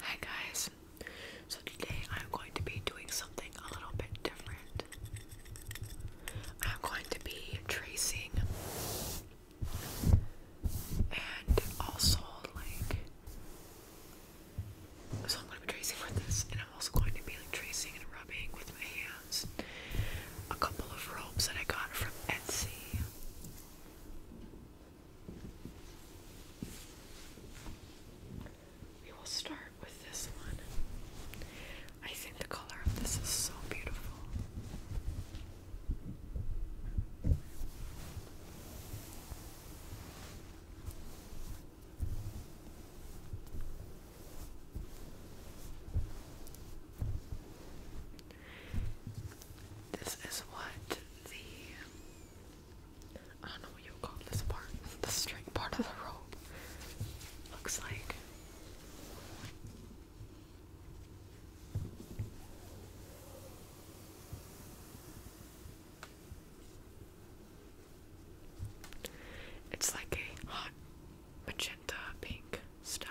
Hi guys, so today I'm going to be doing something a little bit different. I'm going to be tracing and also like so I'm going to be tracing with this and I'm also going to be like tracing and rubbing with my hands a couple of robes that I got from Etsy. We will start with this one. I think the color of this is so beautiful. This is what the I don't know what you call this part, the string part of the rope looks like. It's like a hot magenta pink style.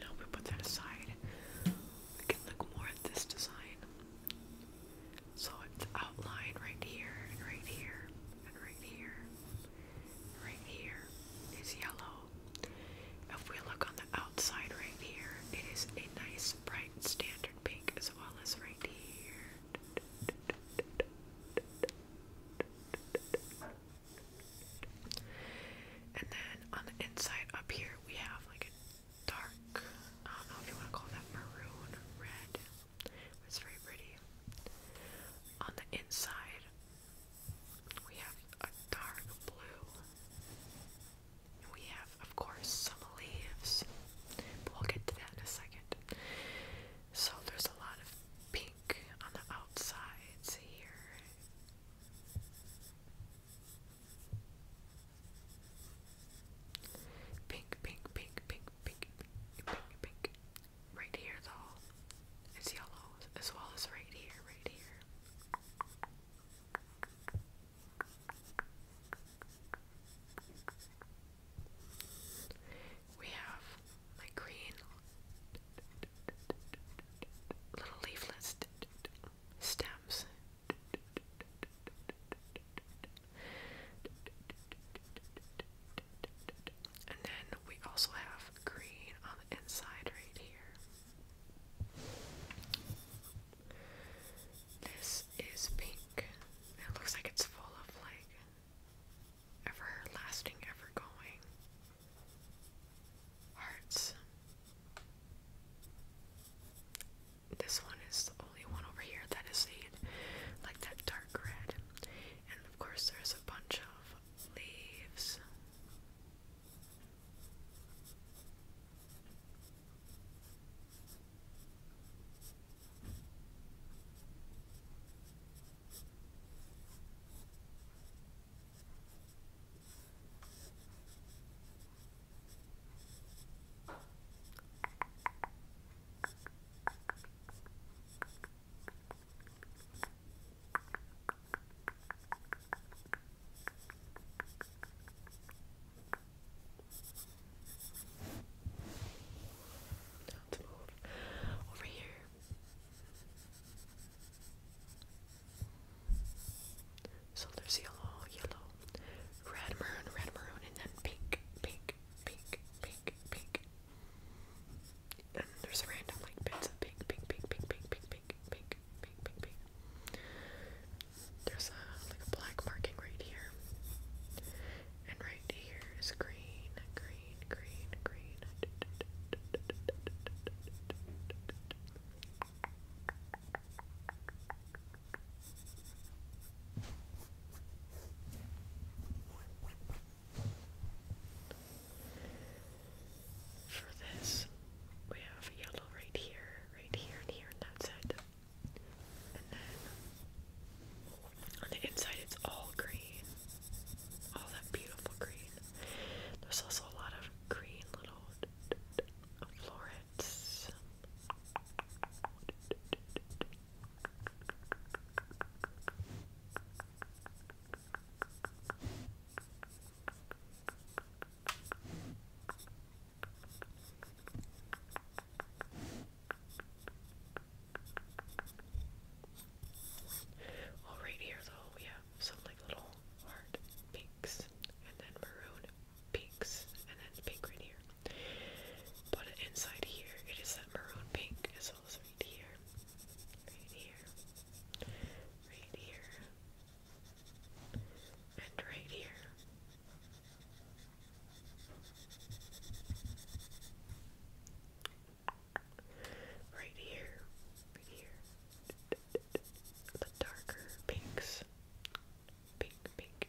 Now we put that aside. We can look more at this design. So it's outlined right here and right here right here, right here is yellow. If we look on the outside right here, it is a nice bright standard pink as well as right here. And then on the inside up here, we have like a dark, I don't know if you want to call that maroon, red, it's very pretty. On the inside, we have a dark blue. And we have, of course, some leaves. But we'll get to that in a second. So there's a lot of pink on the outsides here. Pink, pink, pink, pink, pink, pink, pink, pink right here though it's yellow as well as right here, right here. We have my green little leafless stems. And then we also have green on the inside right here. This is pink. It looks like it's full of like everlasting, ever hearts. This one is the only one over here that is the like that dark red, of course, there's a bunch of leaves over here. So there's yellow, yellow, red, maroon, red, maroon, and then pink, pink, pink, pink, pink, and there's random like bits of pink, pink, pink, pink, pink, pink, pink, pink, pink, pink, pink. There's a like a black marking right here. And right here is green, green, green, green. For this, we have yellow right here, right here, and here, and that's it. And then on the inside, it's all green. All that beautiful green. There's also a lot of green little florets. All right, here though we have like little heart pinks, and then maroon pinks, and then pink right here. But inside here, it is that maroon pink as well as right here, right here, right here, and right here. Right here, right here. The darker pinks. Pink, pink,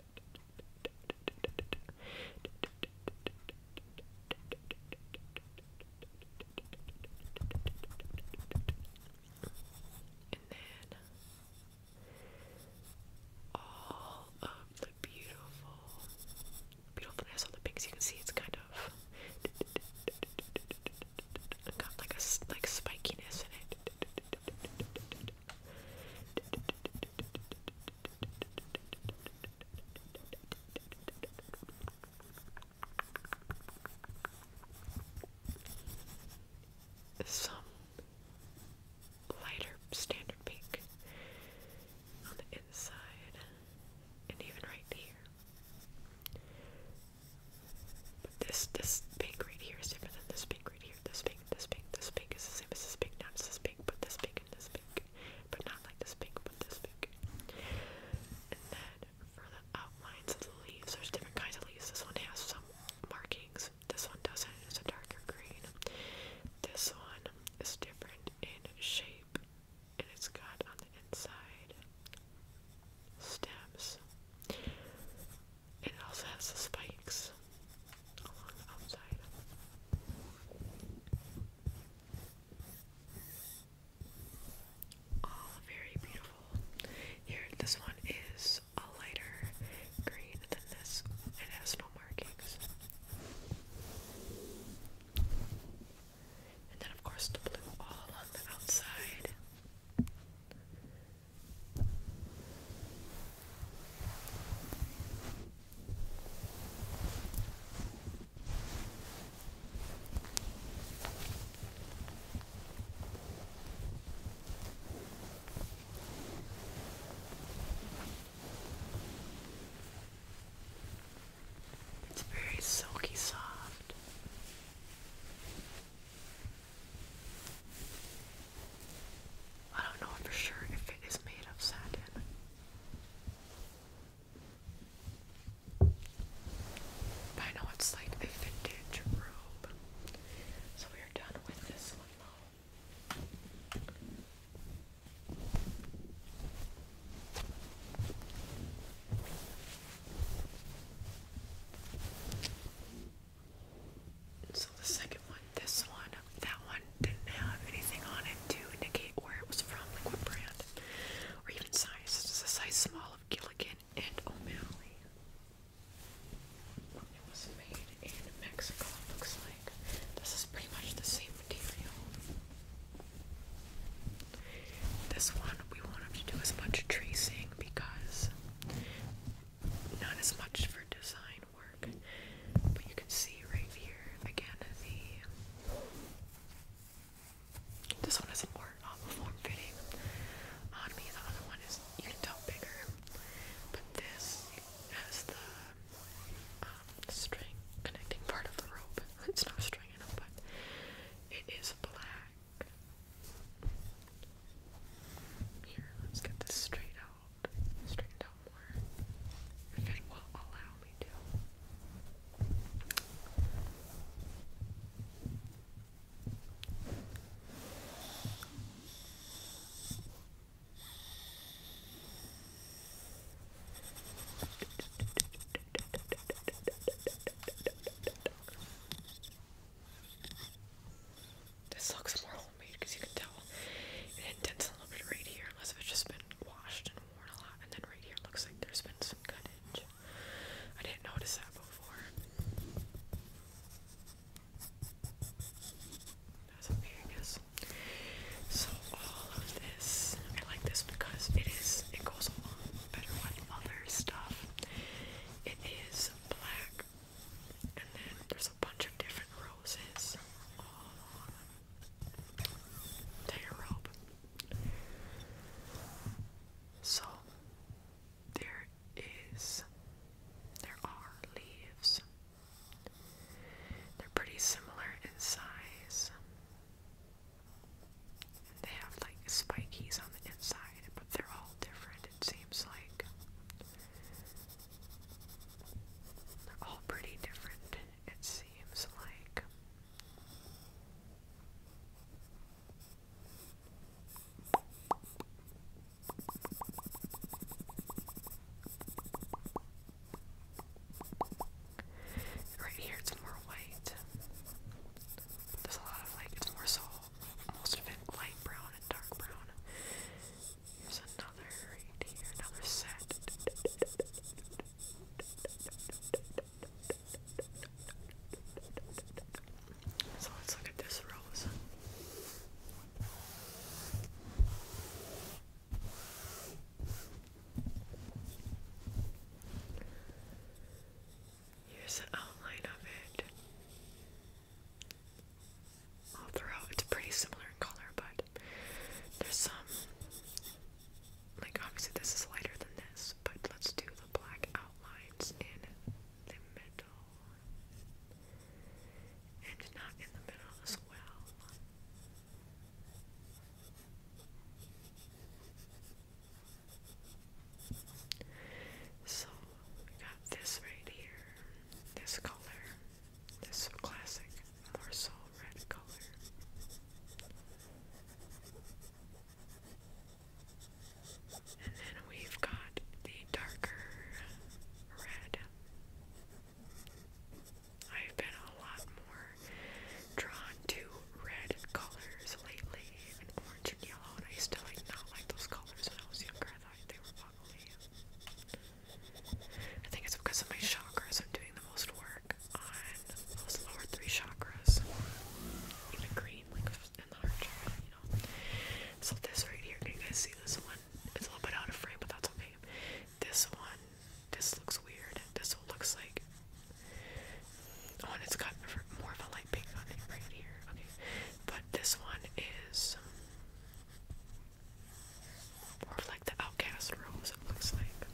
And then all of the beautiful beautifulness on the pinks. You can see it's kind of got like a like spikiness in it some lighter standard pink on the inside and even right here. But this this pink right here is different than this pink right here. This pink, this pink, this pink is the same as this pink, not this pink, but this pink this big. But not like this big, but this big. And then for the outlines of the leaves, there's different kinds of leaves. This one has some markings, this one doesn't, it's a darker green. This one is different in shape, and it's got on the inside stems. and It also has the spikes. All oh, very beautiful. Here, this one is a lighter green than this. It has no markings. And then, of course, the blue all along the outside. It's very silky soft. I don't know for sure if it is made of satin. I know it's like a vintage robe. So we are done with this one though. So the second one, this one, that one didn't have anything on it to indicate where it was from, like what brand, or even size. This is a size small of Gilligan and O'Malley. It was made in Mexico, it looks like. This is pretty much the same material. This one we won't have to do as much tracing because not as much for design work, but you can see right here again the. This one is more um, form fitting on me, the other one is, you can tell, bigger, but this has the um, string connecting part of the rope. It's not string, I but it is black. Here, let's get this straight out out, out more, if it will allow me to. This looks more because you can tell it indents a little bit right here, unless it's just been washed and worn a lot. And then right here looks like there's been some cutting. I didn't notice that before. That's okay, I guess. So all of this, I like this because it is it goes along better with other stuff. It is black, and then there's a bunch of different roses all along the So there is there are leaves. They're pretty similar in size. They have like spikies on the inside, but they're all different it seems like. They're all pretty different, it seems like. Right here, it's more white. There's a lot of like, it's more soul most of it light brown and dark brown. Here's another right here, another set. So let's look at this rose. Here's the outline of it all throughout. It's pretty similar in color, but there's some like obviously this is lighter than this, but let's do the black outlines in the middle and not in the middle as well. So we got this right here this color, this classic morsel red color. And then we've got the darker red. I've been a lot more drawn to red colors lately, even orange and yellow, and I used to not like those colors when I was younger. I think it's because of my chakras. I'm doing the most work on those lower three chakras, even green, like in the heart chakra, you know. So this right here, can you guys see this one? It's a little bit out of frame, but that's okay. This one, this looks weird. This one looks like. Oh, it's got more of a right here. Okay, but this one is more like the outcast rose. looks like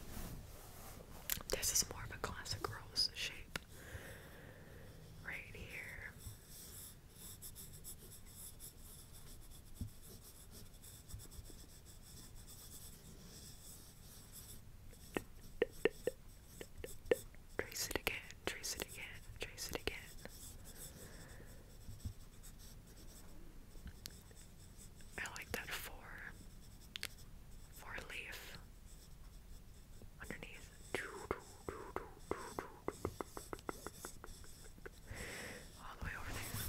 this is more of a classic rose shape right here. Trace it again, trace it again, trace it again. I like that four, four leaf underneath. All the way over there.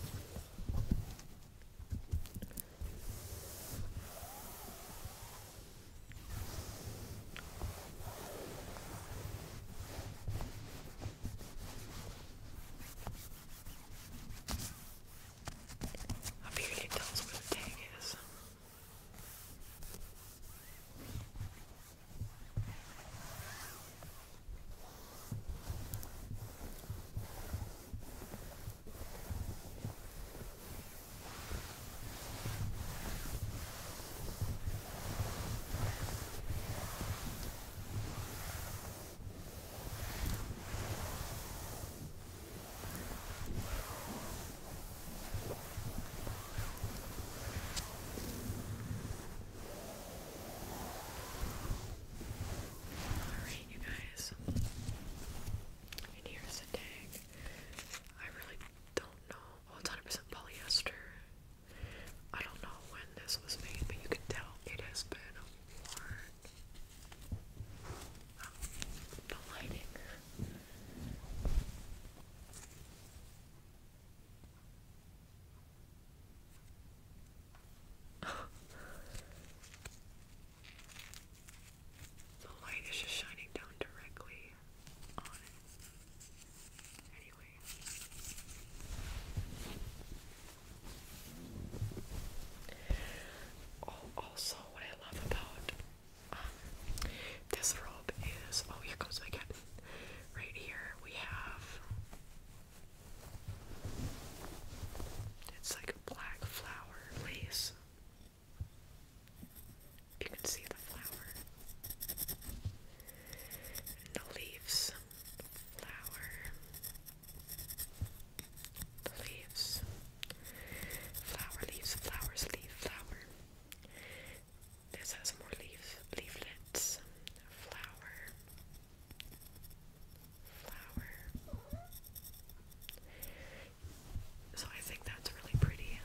I figured it tells where the tag is. Alright, you guys. And here's the tag. I really don't know 100% polyester. I don't know when this was made, but you can tell it has been worn. Um, the lighting. the light is just shining down directly Oh, also, what I love about um, this robe is oh, here comes my cat. Right here we have it's like black flower lace. You can see the flower. And the leaves. Flower. The leaves. Flower, leaves, flowers, leaf, flower. This has more leaves, leaflets. Flower. Flower. So I think that's really pretty.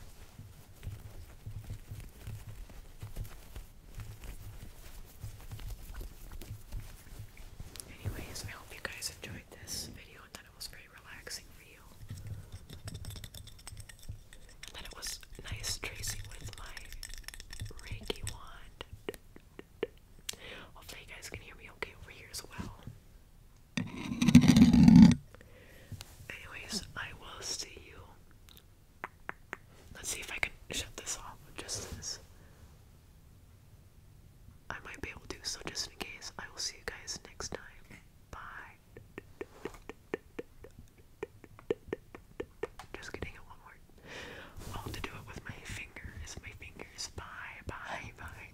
Anyways, I hope you guys enjoyed this video and that it was very relaxing for you. And that it was nice tracing with my Reiki wand. Hopefully, you guys can hear me okay over here as well. Anyways, I will see you. Let's see if I can shut this off just this. I might be able to, so just in case, I will see you guys next time. Bye. Just kidding, it won't I'll to do it with my fingers. My fingers. Bye, bye, bye.